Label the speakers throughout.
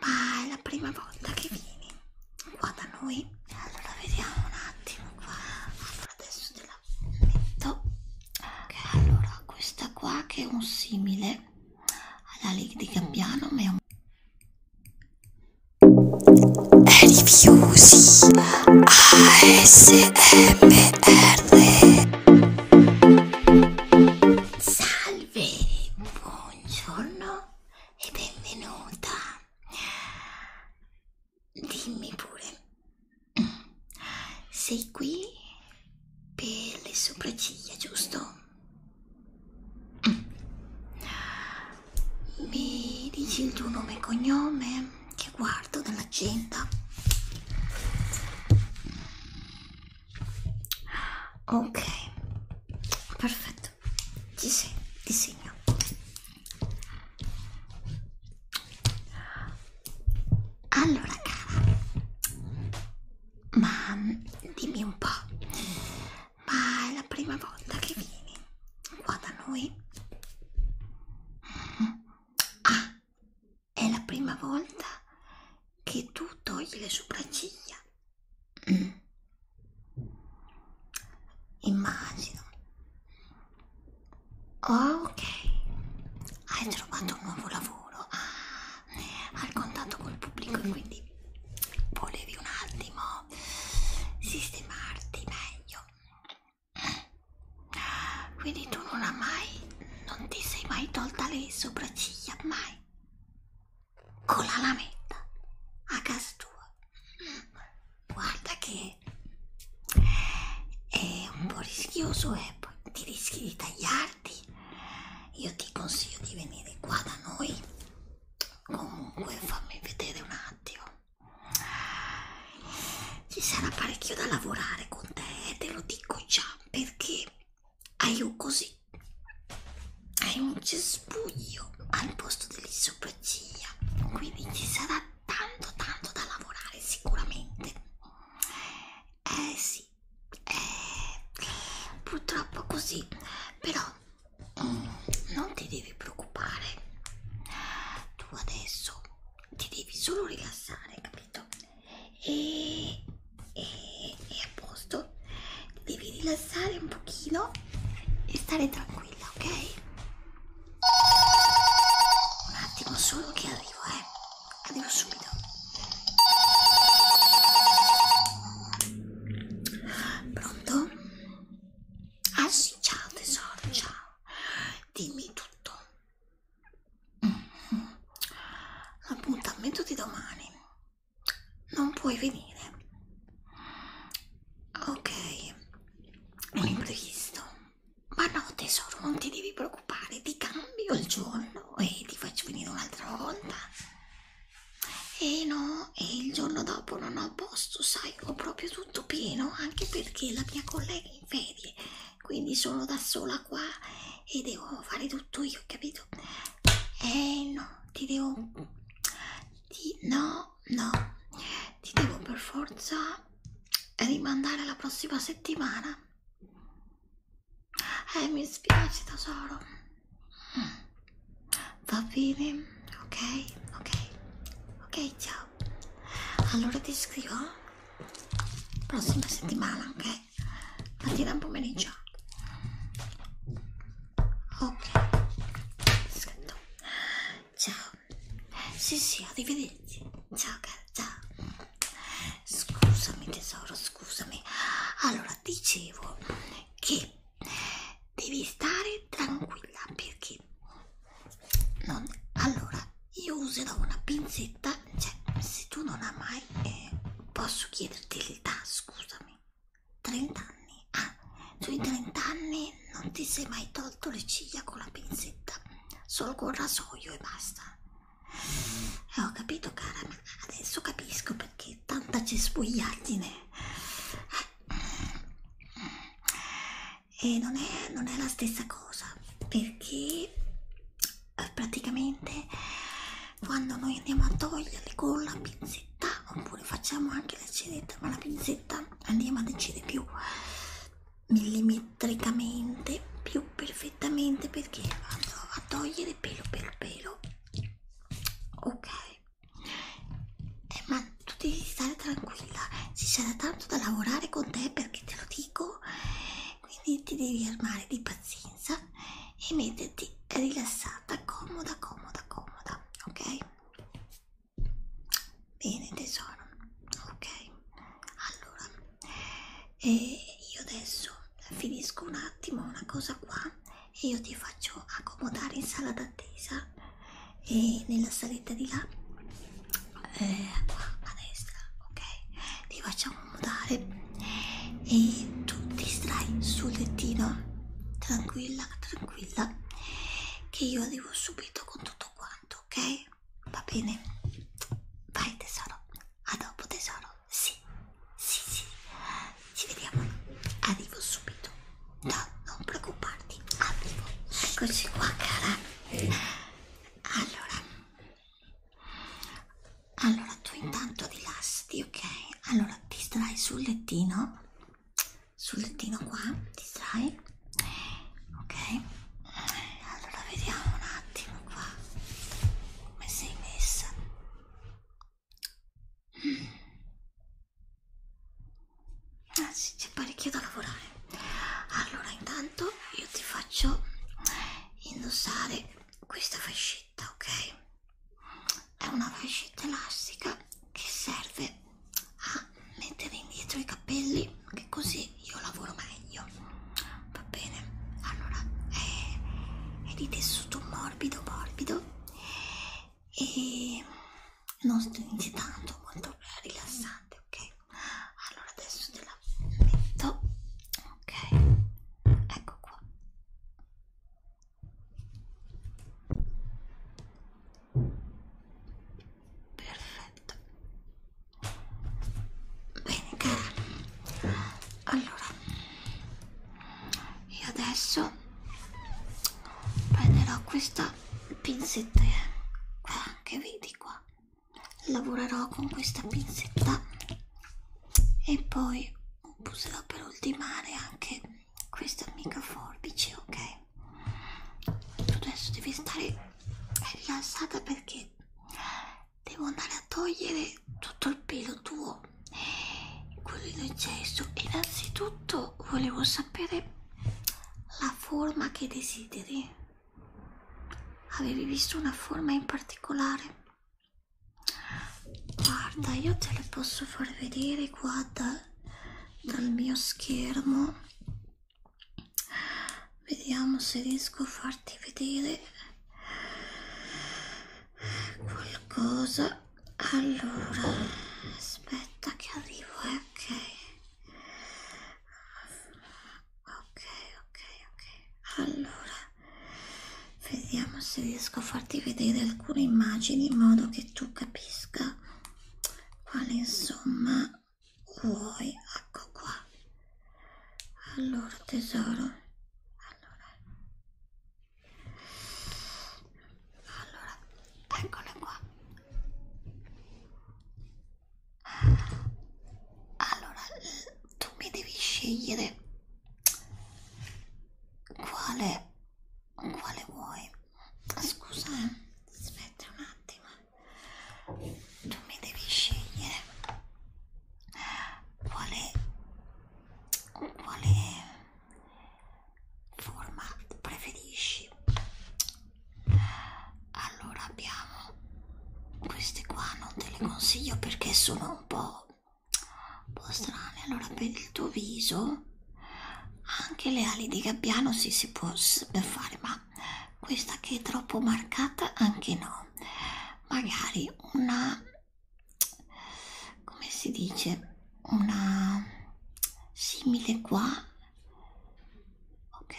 Speaker 1: ma è la prima volta che vieni qua da noi allora vediamo un attimo qua allora adesso te la metto okay. allora questa qua che è un simile alla Lady di Cambiano ma è un Rifiusi ASMR Salve Buongiorno e benvenuta. Dimmi pure, sei qui per le sopracciglia, giusto? Mi dici il tuo nome e cognome che guardo dall'agenda? ok perfetto ci sei disegno allora cara ma dimmi un po' ma è la prima volta che vieni qua da noi mm-hmm. ah è la prima volta che tu togli le sopracciglia Mm. Immagino. Oh, ok. Hai trovato un nuovo lavoro ah, al contatto col pubblico e quindi volevi un attimo sistemarti meglio. Quindi tu non hai mai, non ti sei mai tolta le sopracciglia, mai? con la lametta a casa tua guarda che è un po' rischioso e eh? poi ti rischi di tagliarti io ti consiglio di venire qua da noi comunque fammi vedere un attimo ci sarà parecchio da lavorare con te eh? te lo dico già perché hai un così hai un cespuglio al posto delle sopracciglia quindi ci sarà tanto tanto da lavorare sicuramente eh sì eh, purtroppo così però mm, non ti devi preoccupare tu adesso ti devi solo rilassare capito e, e, e a posto devi rilassare un pochino e stare tranquilla ok un attimo solo che arrivo eh arrivo subito pronto ah sì ciao tesoro ciao dimmi tutto L'appuntamento mm-hmm. di domani non puoi venire. Ok, un imprevisto. Ma no, tesoro, non ti devi preoccupare, ti cambio il giorno e ti faccio venire un'altra volta. E no, e il giorno dopo non ho posto, sai, ho proprio tutto pieno, anche perché la mia collega è in ferie, quindi sono da sola qua e devo fare tutto io, capito? Eh no, ti devo... Ti, no, no, ti devo per forza rimandare alla prossima settimana. Eh, mi spiace tesoro. Mm. Va bene, ok, ok, ok, ciao. Allora ti scrivo eh? prossima settimana, ok? mattina e pomeriggio ok scritto ciao sì sì arrivederci ciao cara ciao scusami tesoro scusami allora dicevo che devi stare tranquilla perché non allora io userò una pinzetta cioè se tu non hai mai eh, posso chiederti il tasto scusami, 30 anni. Ah, sui 30 anni non ti sei mai tolto le ciglia con la pinzetta, solo con il rasoio e basta. E eh, ho capito, cara, ma adesso capisco perché tanta cespugliardine. Eh, mm. E non è, non è la stessa cosa perché eh, praticamente quando noi andiamo a toglierli con la pinzetta oppure facciamo anche l'acidetta ma la pinzetta andiamo a decidere più millimetricamente più perfettamente perché andrò a togliere pelo per pelo ok eh, ma tu devi stare tranquilla ci sarà tanto da lavorare con te perché te lo dico quindi ti devi armare di pazienza e metterti rilassata, comoda, comoda, comoda, ok? Bene tesoro, ok? Allora, eh, io adesso finisco un attimo una cosa qua e io ti faccio accomodare in sala d'attesa e nella saletta di là, eh, qua a destra, ok? Ti faccio accomodare e tu ti stai sul lettino tranquilla tranquilla che io arrivo subito con tutto quanto ok va bene vai tesoro a dopo tesoro sì sì sì ci vediamo arrivo subito no non preoccuparti arrivo eccoci qua cara allora allora tu intanto rilassati, ok? Allora ti stai sul lettino, sul lettino qua, ti stai, ok? Allora vediamo un attimo qua come sei messa. Ah, sì, c'è parecchio da lavorare. Allora intanto io ti faccio indossare questa fascetta fascetta, ok? È una fascetta elastica che serve a mettere indietro i capelli, che così io lavoro meglio. Va bene? Allora è, è di tessuto morbido, morbido e non stringe tanto, molto rilassante, ok? Allora adesso te la metto ok ecco qua perfetto bene cara allora io adesso prenderò questa pinzetta eh, qua che vedi qua lavorerò con questa pinzetta e poi userò per ultimare anche questa amica forbice ok tu adesso devi stare rilassata perché devo andare a togliere tutto il pelo tuo quello in gesso innanzitutto volevo sapere la forma che desideri avevi visto una forma in particolare guarda io te le posso far vedere qua da, dal mio schermo vediamo se riesco a farti vedere qualcosa allora aspetta che arrivo eh? ok ok ok ok allora vediamo se riesco a farti vedere alcune immagini in modo che tu capisca quale insomma vuoi ecco qua allora tesoro allora allora eccola qua allora tu mi devi scegliere quale? Quale vuoi? Scusa, aspetta un attimo. Tu mi devi scegliere quale, quale forma preferisci. Allora abbiamo queste qua, non te le consiglio perché sono un po' un po' strane. Allora, per il tuo viso, anche le ali di gabbiano sì, si può fare, ma questa che è troppo marcata, anche no. Magari una come si dice una simile qua ok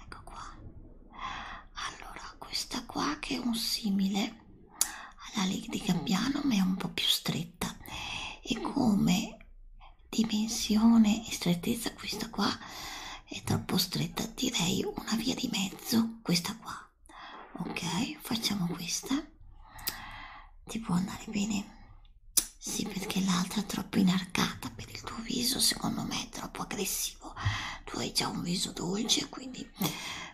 Speaker 1: ecco qua allora questa qua che è un simile alla Lady di Cambiano mm. ma è un po' più stretta e come dimensione e strettezza questa qua è troppo stretta direi una via di mezzo questa qua ok facciamo questa ti può andare bene sì perché l'altra è troppo inarcata per il tuo viso secondo me è troppo aggressiva benissimo tu hai già un viso dolce quindi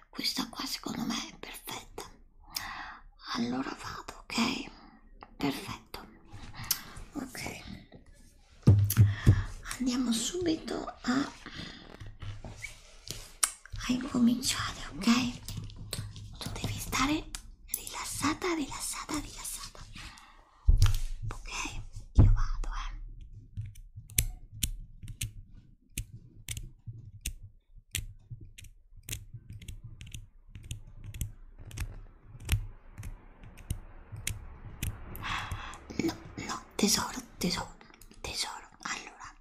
Speaker 1: questa qua secondo me è perfetta allora vado ok perfetto ok andiamo subito a, a incominciare ok tu devi stare rilassata rilassata rilassata ok io vado eh No, no, tesoro, tesoro, tesoro. Allora,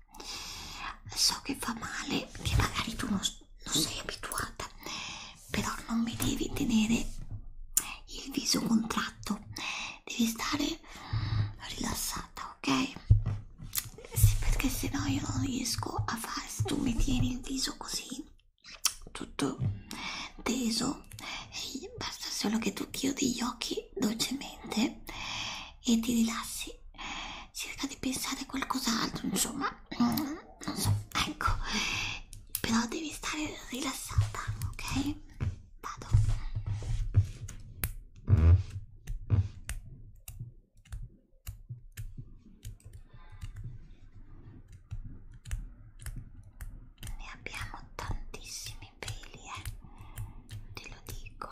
Speaker 1: so che fa male, che magari tu non, non sei abituata, però non mi devi tenere il viso contratto devi stare rilassata ok sì perché sennò io non riesco a fare se tu mi tieni il viso così tutto teso basta solo che tu chiudi gli occhi dolcemente e ti rilassi cerca di pensare a qualcos'altro insomma non so ecco però devi stare rilassata ok Vado. Ne abbiamo tantissimi peli, eh? Te lo dico.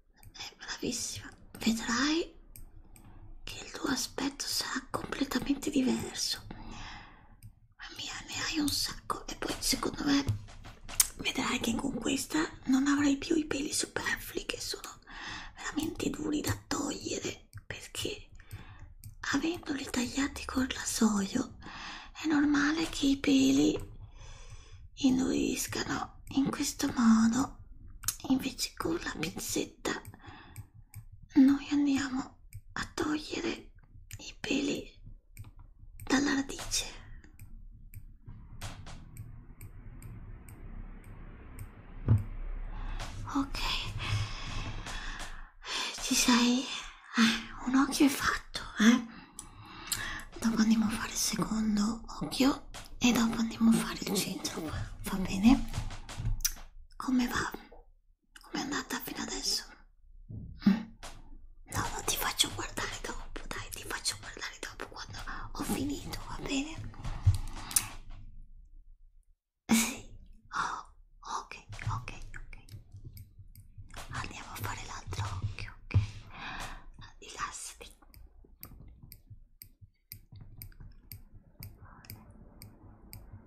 Speaker 1: è bravissima vedrai che il tuo aspetto sarà completamente diverso ma mia ne hai un sacco e poi secondo me vedrai che con questa non avrai più i peli superflui che sono veramente duri da togliere perché avendoli tagliati col rasoio è normale che i peli induiscano io in questo modo, invece con la pizzetta, noi andiamo a togliere i peli dalla radice. Ok, ci sei? Eh, un occhio è fatto, eh? Dopo andiamo a fare il secondo occhio e dopo andiamo a fare il centro va bene? come va? come è andata fino adesso? Mm. no no ti faccio guardare dopo dai ti faccio guardare dopo quando ho finito va bene? sì oh, ok ok ok andiamo a fare l'altro occhio ok rilassati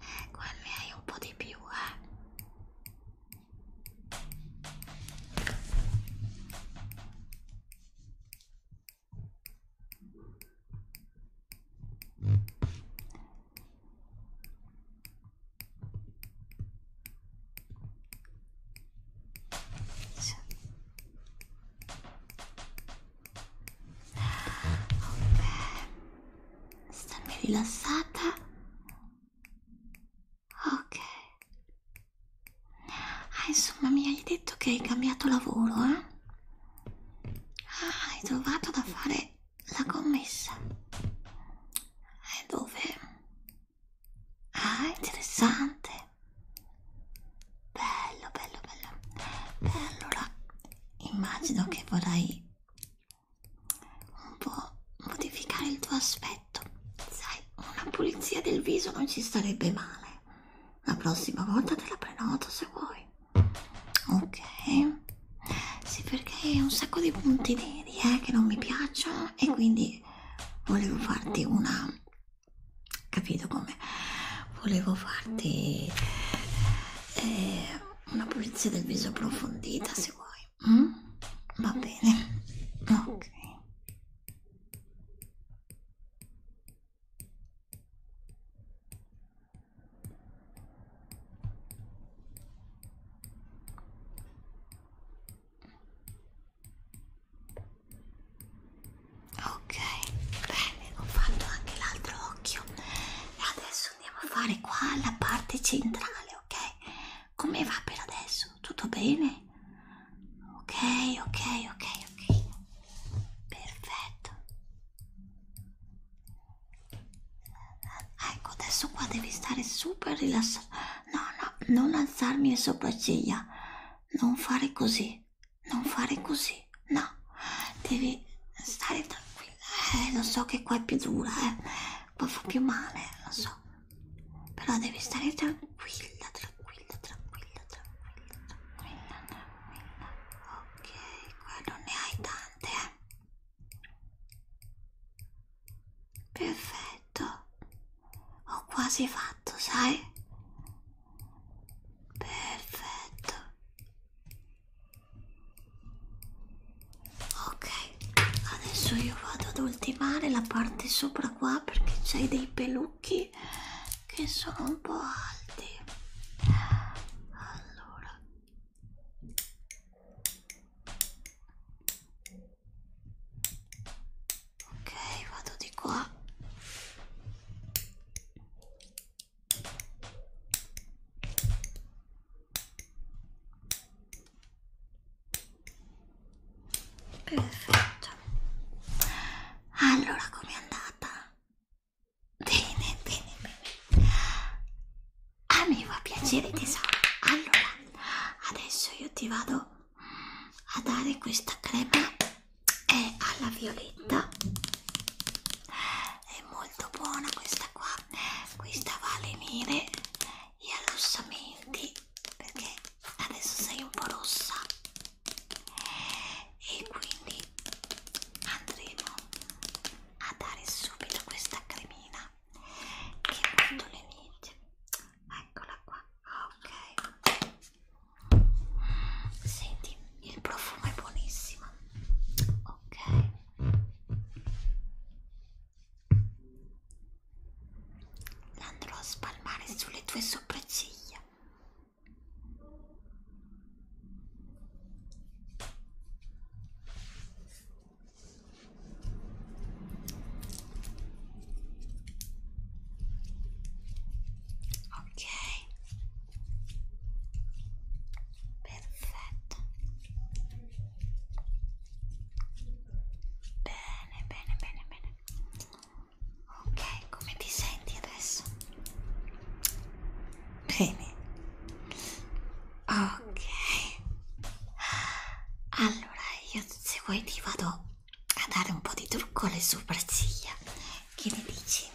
Speaker 1: eh, qua ne hai un po' di più, eh. Ok, stammi rilassata. Ok. Ah, insomma, mi hai detto che hai cambiato lavoro, eh? Ah, hai trovato da fare la commessa. E dove? Ah, interessante bello bello bello Beh, allora immagino che vorrai un po' modificare il tuo aspetto sai una pulizia del viso non ci starebbe male la prossima volta te la prenoto se vuoi ok sì perché ho un sacco di punti neri eh, che non mi piacciono e quindi volevo farti una capito come volevo farti eh, una pulizia del viso approfondita se vuoi mm? va bene ok Ok, bene, ho fatto anche l'altro occhio. E adesso andiamo a fare qua la parte centrale, ok? Come va per adesso? Tutto bene? Ok, ok, ok, ok. Perfetto. Ecco, adesso qua devi stare super rilassato. No, no, non alzarmi le sopracciglia. Non fare così non fare così, no, devi stare tranquilla, eh, lo so che qua è più dura, eh, poi fa più male, lo so, però devi stare tranquilla, tranquilla, tranquilla, tranquilla, tranquilla, tranquilla, ok, qua non ne hai tante, eh. perfetto, ho quasi fatto, sai? Perfetto. Ok, adesso io vado ad ultimare la parte sopra qua perché c'hai dei pelucchi che sono un po' alti. Allora ok vado di qua perfetto allora com'è andata? bene bene bene a me fa piacere tesoro allora adesso io ti vado a dare questa crema è alla violetta è molto buona questa qua questa va a lenire gli arrossamenti perché adesso sei un po' rossa e quindi andremo a dare subito questa cremina che quando le venite eccola qua ok Senti, il profumo è buonissimo. Ok. L'andrò a spalmare sulle tue sopracciglia ok perfetto bene bene bene bene ok come ti senti adesso bene ok allora io se vuoi ti vado a dare un po' di trucco alle sopracciglia. Che ne dici?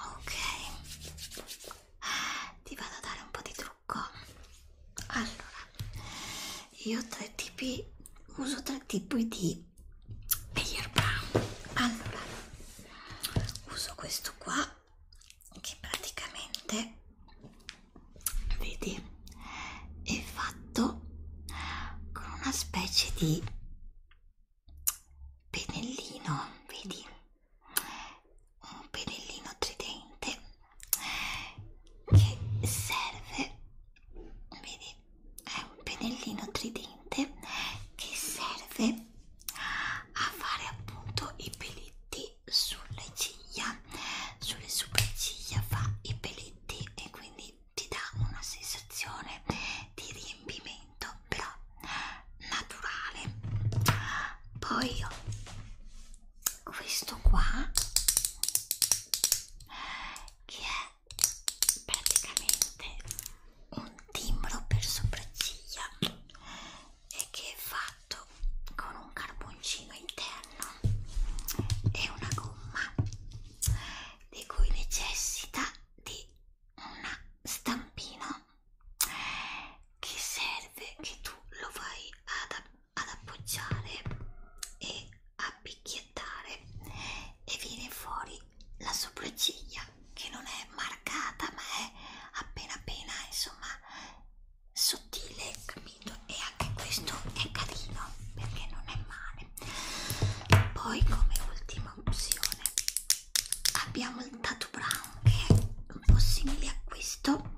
Speaker 1: Ok, ti vado a dare un po' di trucco. Allora, io tre tipi, uso tre tipi di layer brown. Allora, uso questo qua che praticamente vedi è fatto con una specie di pennellino vedi un pennellino tridente che serve vedi è un pennellino tridente che serve a fare appunto i peletti sulle ciglia sulle sopracciglia fa i peletti fritti e quindi ti dà una sensazione di riempimento però naturale poi ho questo qua che è praticamente un timbro per sopracciglia e che è fatto con un carboncino interno panna è una gomma di cui necessita di una stampina che serve che tu lo vai ad, ad appoggiare e a picchiettare e viene fuori la sopracciglia che non è marcata ma è appena appena insomma sottile, capito? E anche questo è carino perché non è male. Poi, come ultima opzione, abbiamo il Tattoo Brown che è un po' simile a questo,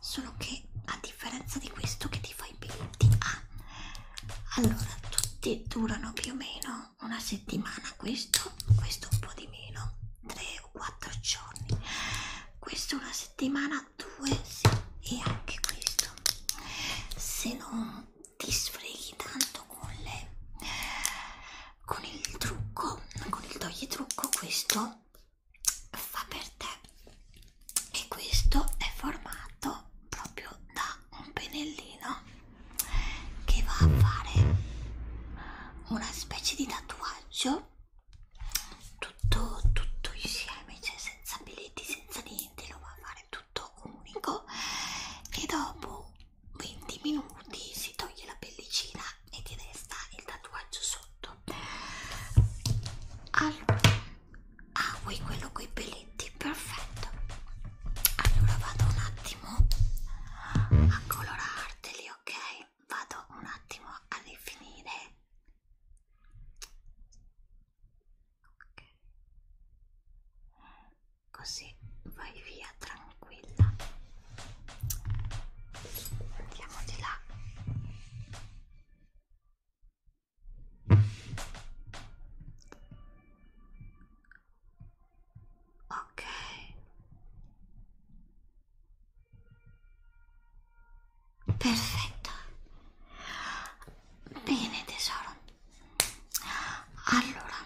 Speaker 1: solo che a differenza di questo che ti fa i peletti ah, allora tutti durano più o meno una settimana questo questo un po' di meno 3 o 4 giorni questo una settimana a due sì. e anche questo se non ti sfreghi tanto con le con il trucco con il togli trucco questo fa per te e questo è formato proprio da un pennellino che va a fare una specie di tatuaggio tutto, tutto insieme, cioè senza biglietti, senza niente, lo va a fare tutto unico e dopo 20 minuti si toglie la pellicina e ti resta il tatuaggio sotto. Allora, ah vuoi quello con i pelletti? Perfetto. Allora vado un attimo a colorarteli, ok? Vado un attimo a rifinire ok così vai via tranquilla andiamo di là ok perfetto bene tesoro allora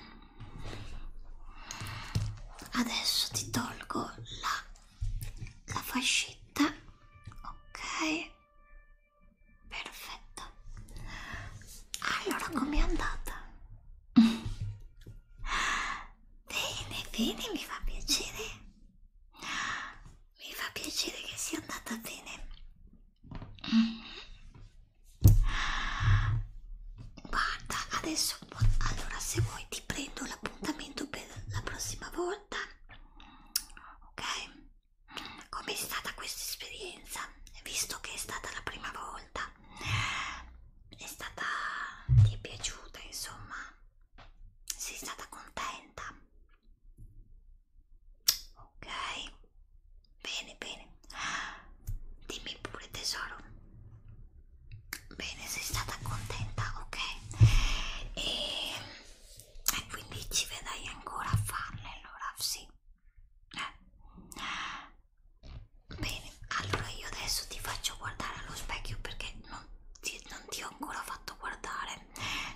Speaker 1: adesso ti tolgo la, la fascetta ok perfetto allora com'è andata bene bene mi fa piacere mi fa piacere che sia andata bene. Guarda, adesso allora se vuoi ti prendo l'appuntamento per la prossima volta. Ok? Com'è stata questa esperienza? Visto che è stata la prima volta, è stata ti è piaciuta, insomma. Sei stata contenta? Ok, bene, bene. Dimmi pure tesoro. Bene, sei stata contenta, ok. E, e quindi ci vedrai ancora a farle allora, sì. Eh. Bene, allora io adesso ti faccio guardare allo specchio perché non ti, non ti ho ancora fatto guardare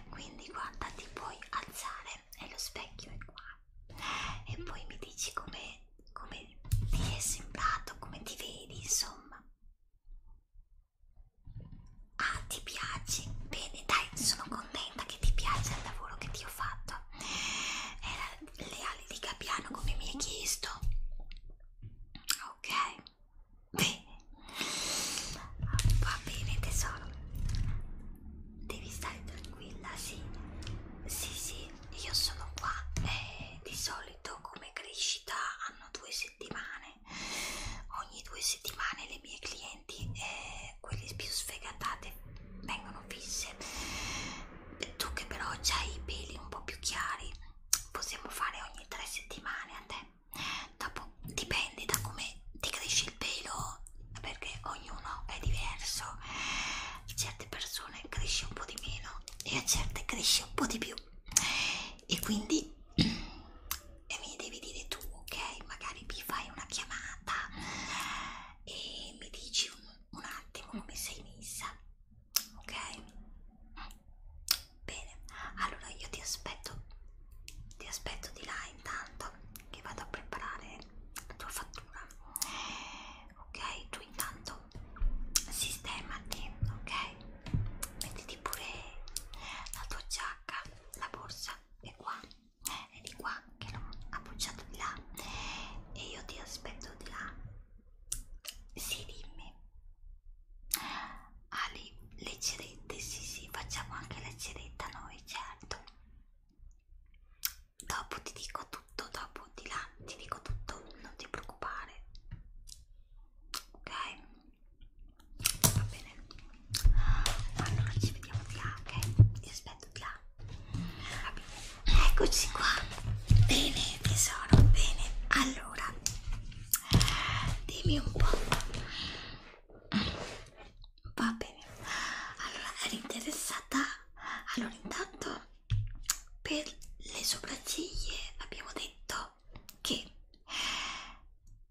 Speaker 1: quindi guarda ti puoi alzare e lo specchio è qua e poi mi dici come come ti è sembrato come ti vedi insomma ah ti piaci bene dai sono contenta che ti piace il lavoro che ti ho fatto era le ali di Capiano come mi hai chiesto ok Bene, va bene tesoro, devi stare tranquilla, sì, sì, sì, io sono qua e eh, di solito come crescita hanno due settimane, ogni due settimane le mie clienti, eh, quelle più sfegatate, vengono fisse, tu che però hai i peli un po' più chiari possiamo fare ogni tre settimane a te dopo dipende da come ti cresce il pelo perché ognuno è diverso a certe persone cresce un po' di meno e a certe cresce un po' di più e quindi e mi devi dire tu ok magari mi fai una chiamata e mi dici un, un attimo come sei messa ok Bene, allora io ti aspetto, ti aspetto di là intanto che vado a preparare la tua fattura. Ok, tu intanto sistemati, ok? Mettiti pure la tua giacca, la borsa è qua, è di qua che l'ho appoggiato di là e io ti aspetto di là. Sì, dimmi. Ah, le, le cerette, sì sì, facciamo anche la ceretta noi, certo. Dopo ti dico tutto, dopo di là ti dico tutto, non ti preoccupare. Ok? Va bene. Allora ci vediamo di là, ok? Ti aspetto di là. Va bene. Eccoci qua. Bene tesoro, bene. Allora, dimmi un po'. Va bene, allora eri interessata? Allora, intanto per le sopracciglia abbiamo detto che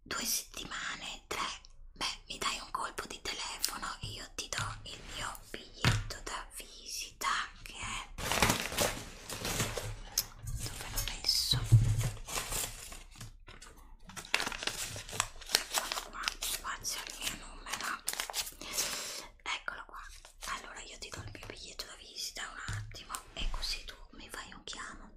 Speaker 1: due settimane, tre, beh, mi dai un colpo di telefono e io ti do il mio biglietto da visita che è dove l'ho messo eccolo qua qua c'è il mio numero eccolo qua allora io ti do il mio biglietto da visita un attimo e così tu mi fai un chiamo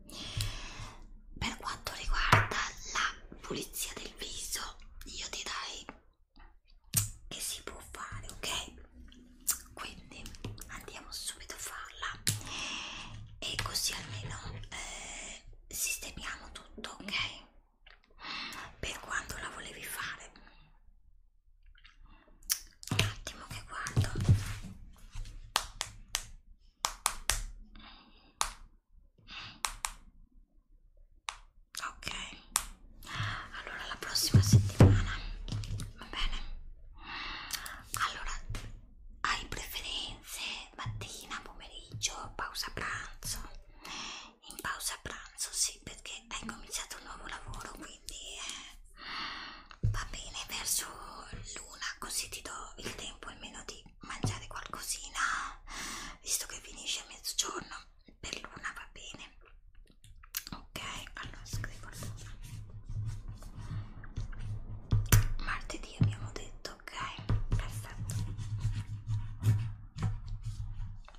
Speaker 1: per quanto riguarda la pulizia del viso io ti dai che si può fare ok quindi andiamo subito a farla e così almeno eh, sistemiamo tutto ok per quanto la volevi fare un attimo che guardo ok allora la prossima settimana va bene allora hai preferenze mattina, pomeriggio, pausa pranzo? In pausa pranzo sì, perché hai cominciato un nuovo lavoro, quindi eh, va bene verso l'una, così ti do il tempo almeno di mangiare qualcosina, visto che finisce a mezzogiorno, per l'una va bene. Ok, allora scrivo l'una martedì abbiamo detto ok perfetto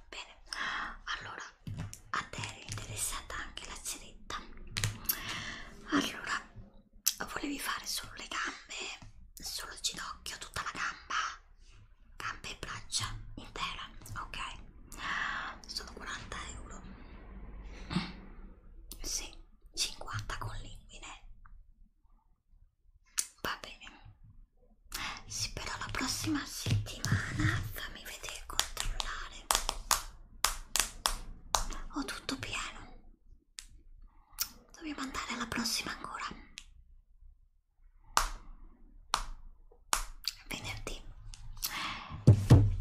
Speaker 1: bene allora a te era interessata anche la ceretta allora volevi fare solo le gambe solo il ginocchio tutta la gamba gambe e braccia intera ok sono 40 euro sì, 50 collinguine. Va bene. Sì, però la prossima settimana fammi vedere controllare. Ho tutto pieno. Dobbiamo andare alla prossima ancora. Venerdì.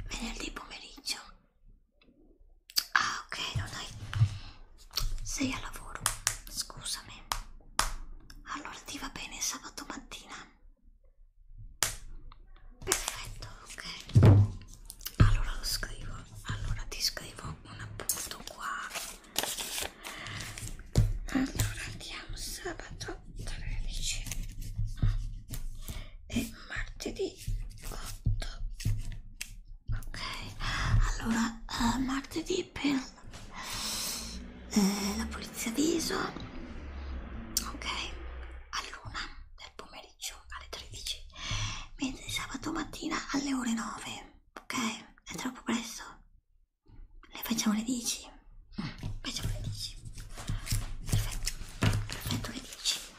Speaker 1: Venerdì pomeriggio Ah, ok, non hai. Sei a lavoro, scusami. Allora ti va bene sabato mattina? Perfetto, ok. Allora lo scrivo. Allora ti scrivo un appunto qua. Allora andiamo sabato 13 e martedì 8 ok allora uh, martedì per eh, la pulizia viso ok all'una del pomeriggio alle 13 mentre sabato mattina alle ore 9 ok è troppo presto le facciamo le 10 mm, facciamo le 10 perfetto perfetto le 10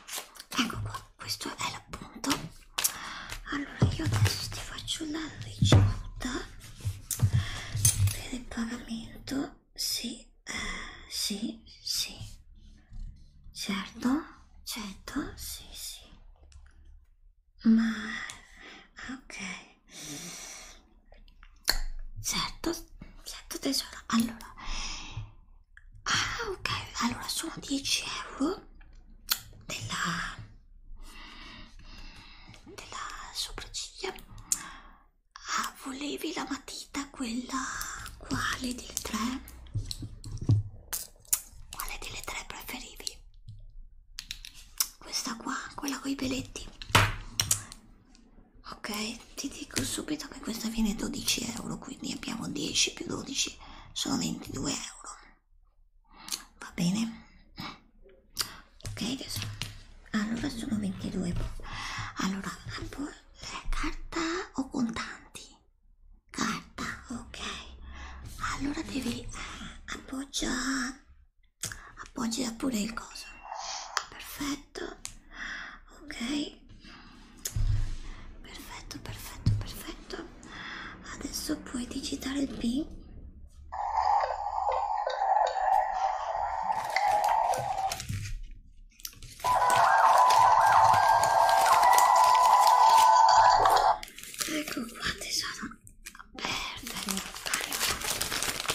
Speaker 1: ecco qua questo è l'appunto allora io adesso ti faccio la ricevuta per il pagamento sì eh, sì sì certo certo sì sì ma ok Certo, certo tesoro. Allora, Ah, ok, allora sono 10 euro della, della sopracciglia. Ah, volevi la matita quella? Quale delle tre? Quale delle tre preferivi? Questa qua, quella con i peletti? Ok, ti dico subito che questa viene 12 euro, quindi abbiamo 10 più 12, sono 22 euro. Va bene? Ok, adesso allora sono 22. Allora, carta o contanti? Carta, ok. Allora devi eh, appoggiare appoggia pure il coso. Perfetto perfetto ok perfetto perfetto perfetto adesso puoi digitare il pin ecco qua tesoro perfetto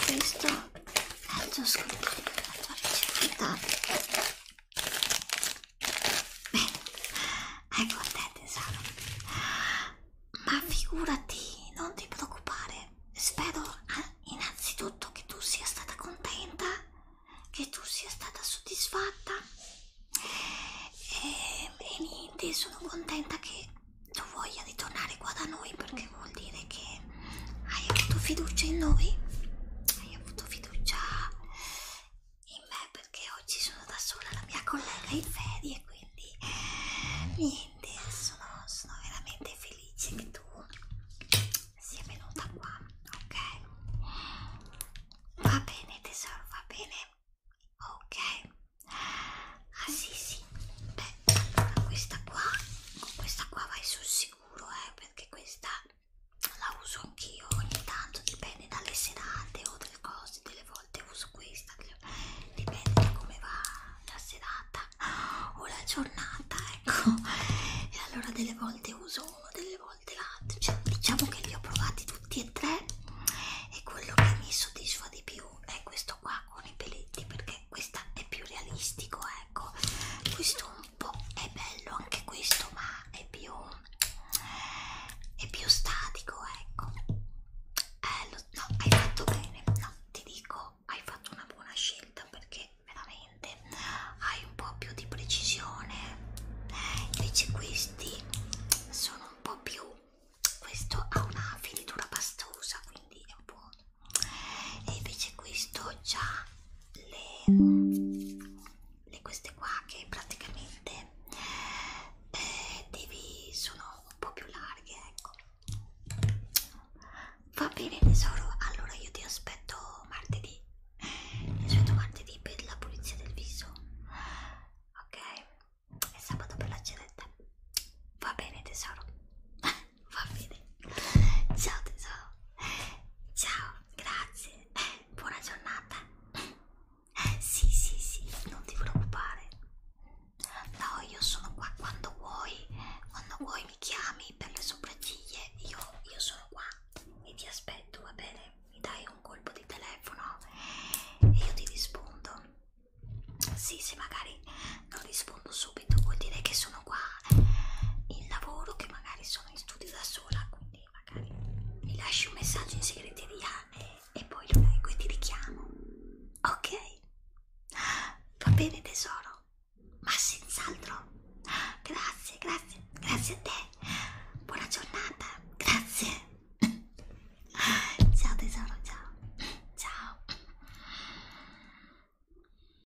Speaker 1: questo è il tuo sconto la tua ricetta Beh, ecco te tesoro. Ma figurati, non ti preoccupare. Spero eh, innanzitutto che tu sia stata contenta, che tu sia stata soddisfatta. E, e niente, sono contenta che tu voglia ritornare qua da noi perché vuol dire che hai avuto fiducia in noi? Hai avuto fiducia in me perché oggi sono da sola, la mia collega è in ferie, quindi niente, sono, sono veramente felice che tu sia venuta qua, ok? Va bene tesoro, va bene, ok? Ah sì sì, beh allora questa qua, con questa qua vai sul sicuro eh, perché questa la uso anch'io ogni tanto dipende dalle serate o delle cose delle volte uso questa dipende da come va la serata o la giornata ecco e allora delle volte uso uno delle volte l'altro cioè, diciamo che li ho provati tutti e tre e quello che mi soddisfa di più è questo qua con i peletti perché questa è più realistico ecco questo un boh, po' è bello anche questo ma è più è più statico ecco eh, lo, no hai fatto bene no ti dico hai fatto una buona scelta perché veramente hai un po' più di precisione eh, invece questi sono un po' più questo ha una finitura pastosa quindi è un po' e invece questo ha le, le queste qua che praticamente eh, devi, sono un po' più larghe ecco va bene tesoro allora io ti aspetto martedì ti aspetto martedì per la pulizia del viso ok e sabato per la cenetta va bene tesoro va bene ciao tesoro ciao grazie eh, buona giornata sì sì sì non ti preoccupare no io sono qua quando vuoi quando vuoi mi chiami per le sopracciglia io, io sono qua e ti aspetto va bene mi dai un colpo di telefono e io ti rispondo sì se magari non rispondo rispondo subito, vuol dire che sono qua eh, in lavoro, che magari sono in studio da sola, quindi magari mi lasci un messaggio in segreteria e, e poi lo leggo e ti richiamo. Ok? Va bene tesoro, ma senz'altro. Grazie, grazie, grazie a te. Buona giornata, grazie. Ciao tesoro, ciao. Ciao.